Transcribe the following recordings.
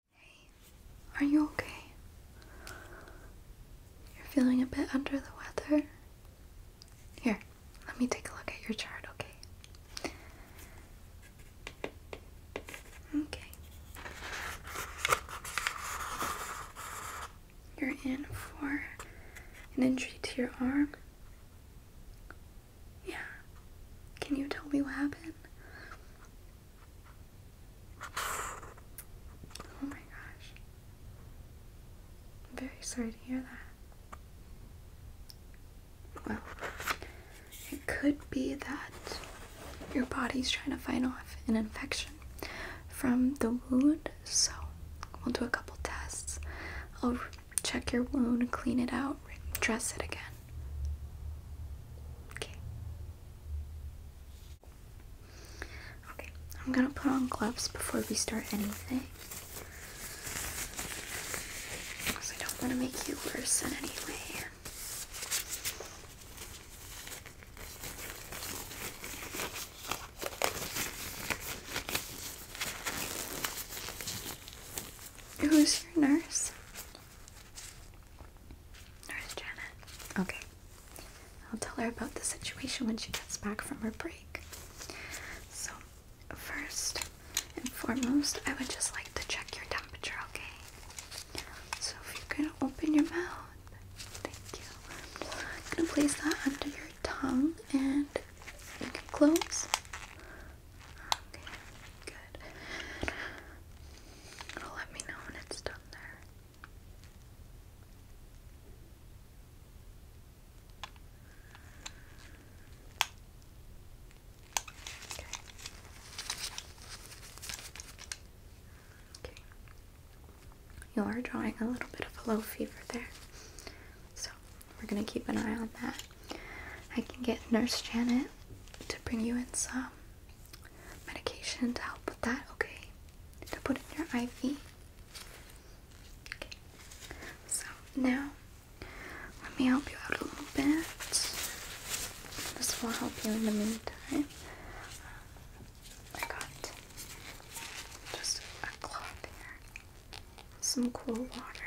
Hey, are you okay? You're feeling a bit under the weather? Here, let me take a look at your chart, okay? Okay. You're in for an injury to your arm? Yeah. Can you tell me what happened? Oh my gosh. I'm very sorry to hear that. Well, it could be that your body's trying to fight off an infection from the wound, so we'll do a couple tests. I'll check your wound, clean it out, dress it again. Okay. Okay, I'm gonna put on gloves before we start anything. Because I don't want to make you worse in any way. Who's your nurse? Nurse Janet. Okay. I'll tell her about the situation when she gets back from her break. So, first and foremost, I would just like to check your temperature, okay? So, if you can open your mouth, thank you. I'm gonna place that under your tongue and you can close. Okay, good let me know when it's done there. Okay. Okay. You are drawing a little bit of a low fever there. So we're gonna keep an eye on that. I can get Nurse Janet to bring you in some medication to help with that, okay? To put in your IV. Okay. So now let me help you out a little bit. This will help you in the meantime. Uh, I got just a cloth here. Some cool water.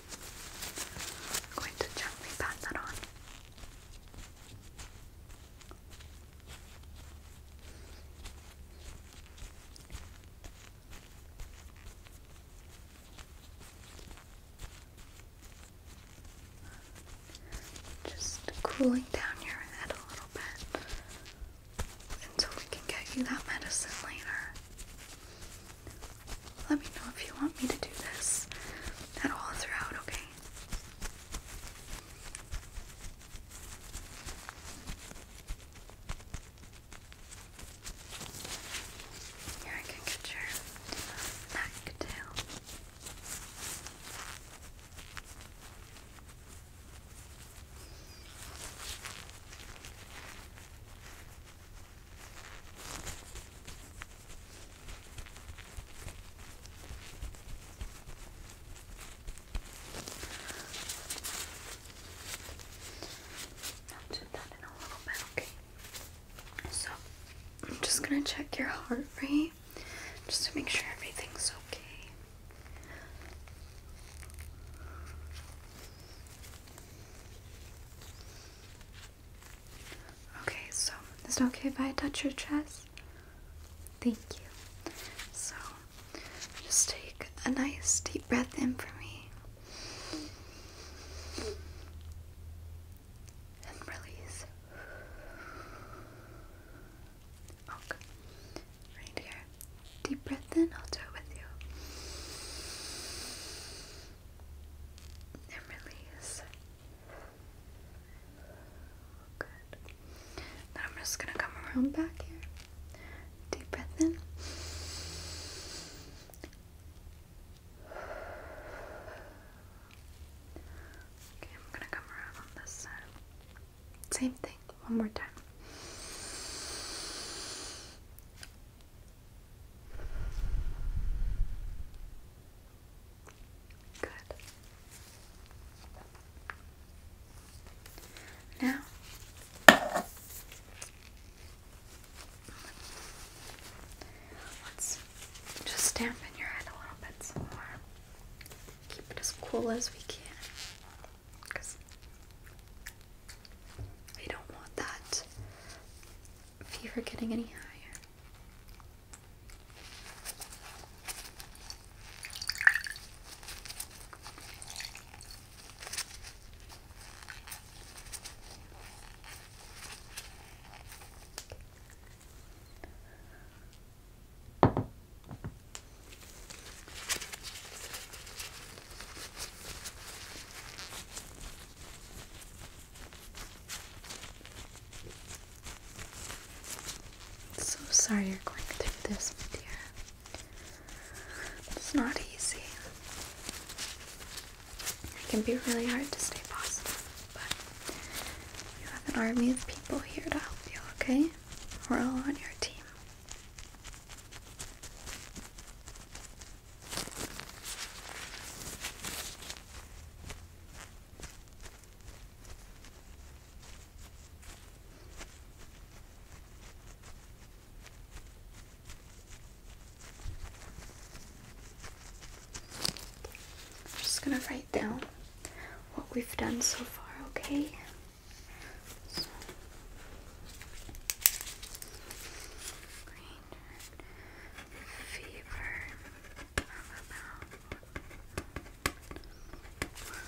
I'm going to gently pat that on. Just cooling down your head a little bit until we can get you that medicine later. Let me know if you want me to do this at all throughout, okay? Here I can get your back tail i am just gonna check your heart rate just to make sure everything's okay. Okay, so is it okay if I touch your chest? Thank you. So just take a nice deep breath in for me and release. Okay. Oh, right here. Deep breath in, I'll do it with you. It really oh, Good. Then I'm just gonna come around back here. Deep breath in. Okay, I'm gonna come around on this side. Same thing, one more time. Good. Now, let's just dampen your head a little bit more. Keep it as cool as we can. Because we don't want that fever getting any higher. So sorry you're going through this, my dear. It's not easy. It can be really hard to stay positive, but you have an army of people here to help you, okay? We're all on your team. I'm just gonna write down what we've done so far, okay? fever. I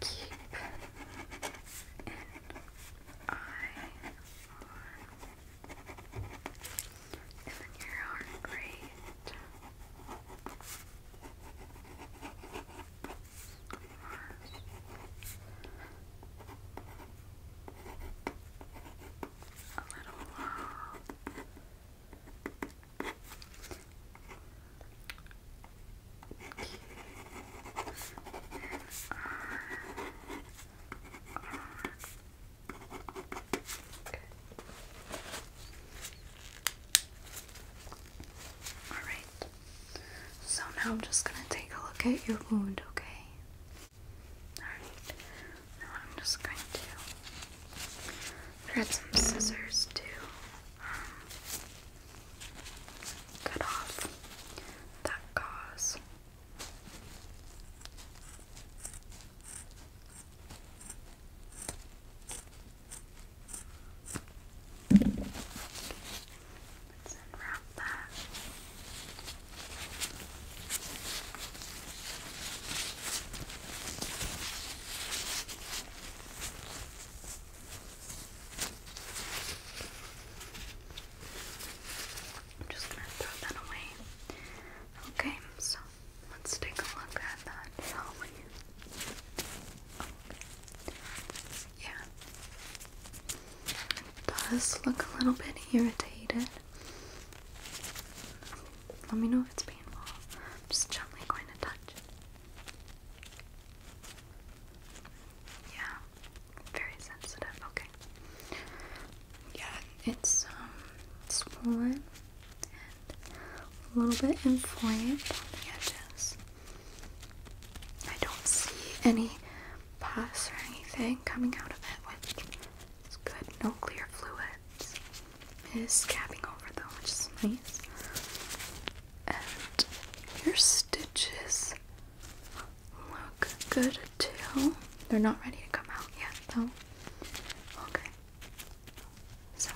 Keep an eye on even your heart rate. Must a Alright, so now I'm just going to take a look at your wound, okay? Alright, now I'm just going to grab some scissors to um, cut off that gauze just going to throw that away. Okay, so let's take a look at that, oh, Yeah, it does look a little bit irritated. Let me know if it's painful. just gently going to touch. Yeah, very sensitive. Okay. Yeah, it's um swollen and a little bit inflamed on the edges. I don't see any pus or anything coming out of it, which is good. No clear fluids. It is scabbing over though, which is nice. And your stitches look good too. They're not ready to come out yet though. Okay. So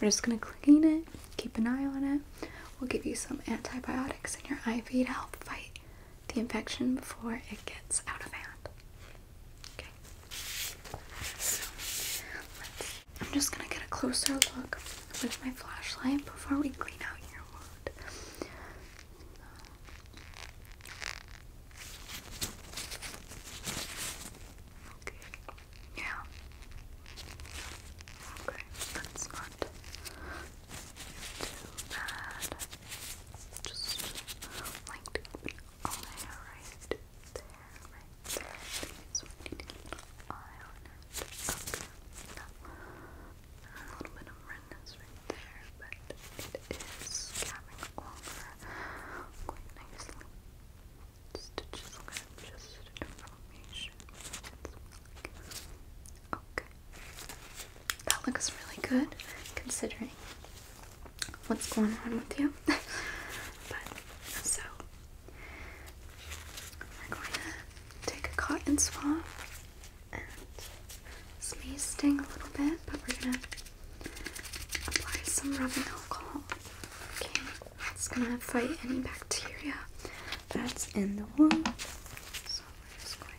we're just gonna clean it, keep an eye on it. We'll give you some antibiotics in your IV to help fight the infection before it gets out of hand. Okay. So, let's, I'm just gonna get a closer look with my flashlight before we clean out your wound. Okay. Yeah. Okay. That's not too bad. Just like to keep an eye right there, right there. So we need to keep an eye on it. Okay. a little bit of redness right there, but it is coming over quite nicely. Stitches kind of just in Okay. That looks really good considering what's going on with you. but so we're going to take a cotton swab and this may sting a little bit, but we're gonna apply some rubbing alcohol. Okay, it's gonna fight any bacteria that's in the wound. So we're just going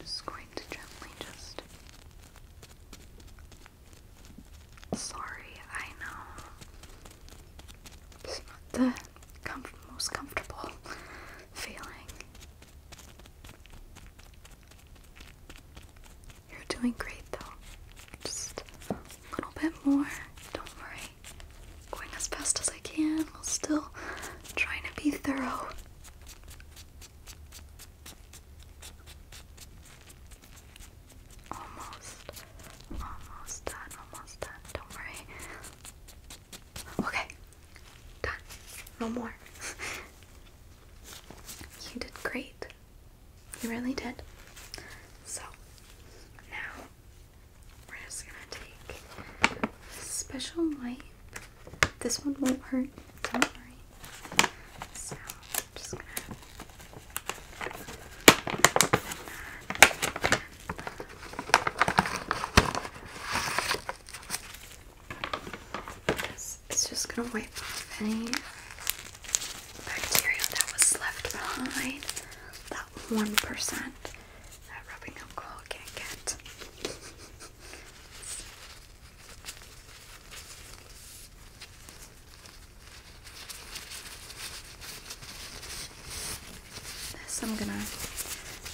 just going to gently just. Sorry, I know it's not the most comfortable feeling. You're doing great though. Just a little bit more. Don't worry. Going as fast as I can while still trying to be thorough. Almost, almost done, almost done. Don't worry. Okay, done. No more. you did great. You really did. So, now we're just gonna take special wipe this one won't hurt, don't worry. So, I'm just gonna it's just gonna wipe off any bacteria that was left behind. That 1% that rubbing alcohol can't get. This I'm gonna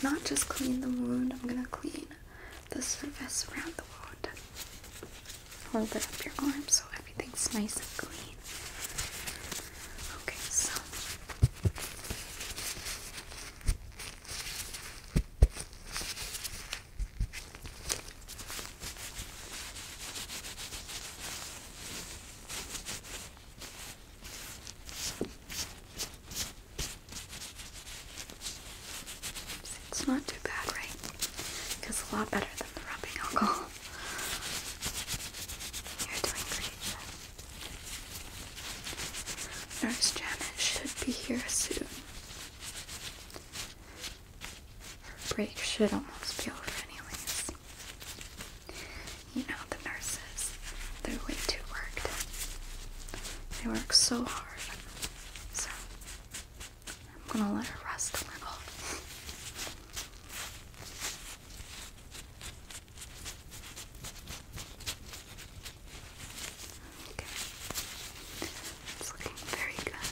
not just clean the wound, I'm gonna clean the surface around the wound. Hold it up your arm so everything's nice and clean. Okay, so it's not too bad, right? Because a lot better than the rubbing alcohol. You're doing great. Nurse Janet should be here soon. Her break should almost be over, anyways. You know, the nurses, they're way too worked. They work so hard. So, I'm gonna let her rest a little. Okay. It's looking very good.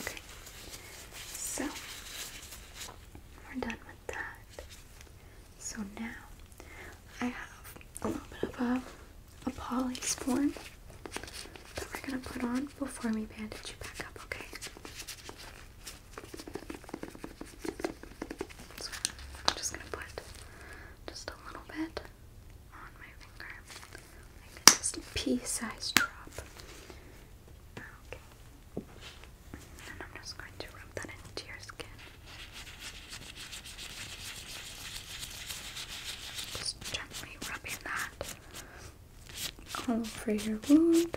Okay. So we're done with that. So now I have a little bit of a a polysporin that we're gonna put on before we bandage you back up, okay? I'm just gonna put just a little bit on my finger, like just a pea-sized drop. Okay. And I'm just going to rub that into your skin. Just gently rubbing that all over your wound.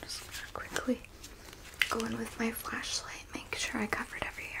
just quickly go in with my flashlight, make sure I covered every area.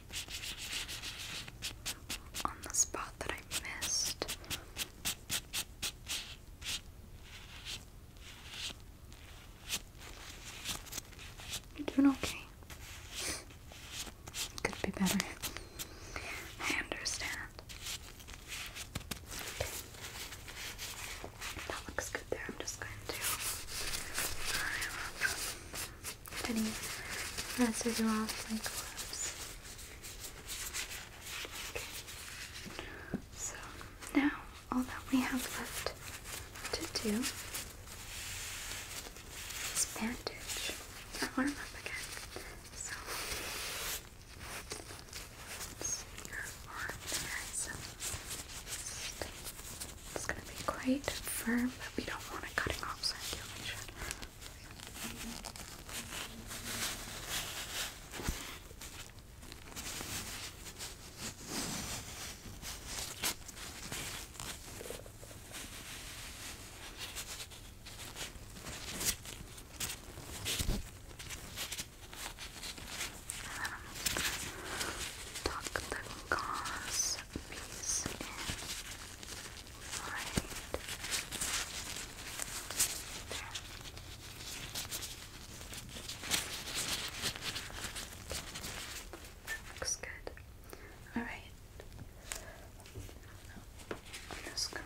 on the spot that I missed. You're doing okay. Could be better. I understand. Okay. That looks good there. I'm just going to. Um, any residue off my gloves. Okay. So now all that we have left to do is bandage and warm up again. So it's gonna be quite firm, but we don't want it cutting off circulation tuck the gauze piece in right Looks good. Alright. I'm just going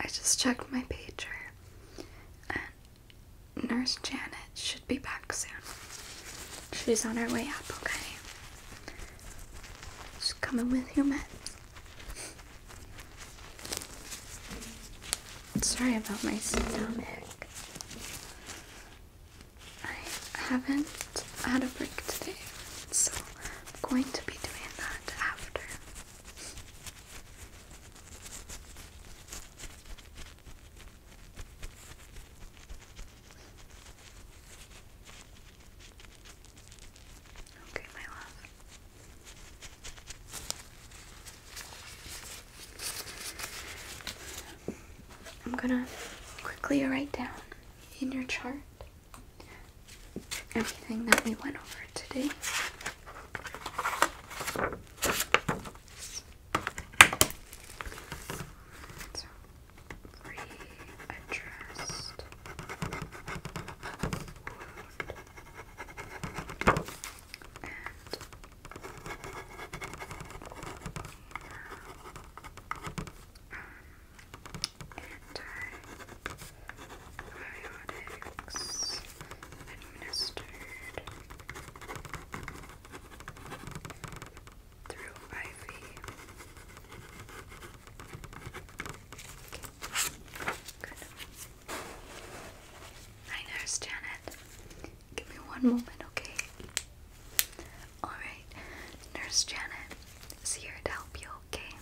I just checked my pager and Nurse Janet should be back soon. She's on her way up, okay? She's coming with your meds. Sorry about my stomach. I haven't had a break today, so I'm going to be doing that after. Okay, my love. I'm gonna quickly write down in your chart everything that we went over today. So, readdressed wound and antibiotics administered through IV. Okay. nurse Janet. Give me one moment, okay? Alright, Nurse Janet is here to help you, okay?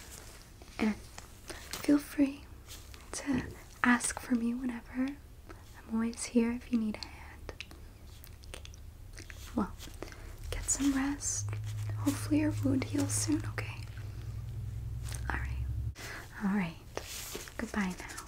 And feel free to ask for me whenever. I'm always here if you need a hand. Well, get some rest. Hopefully, your wound heals soon, okay? Alright. Alright. Goodbye now.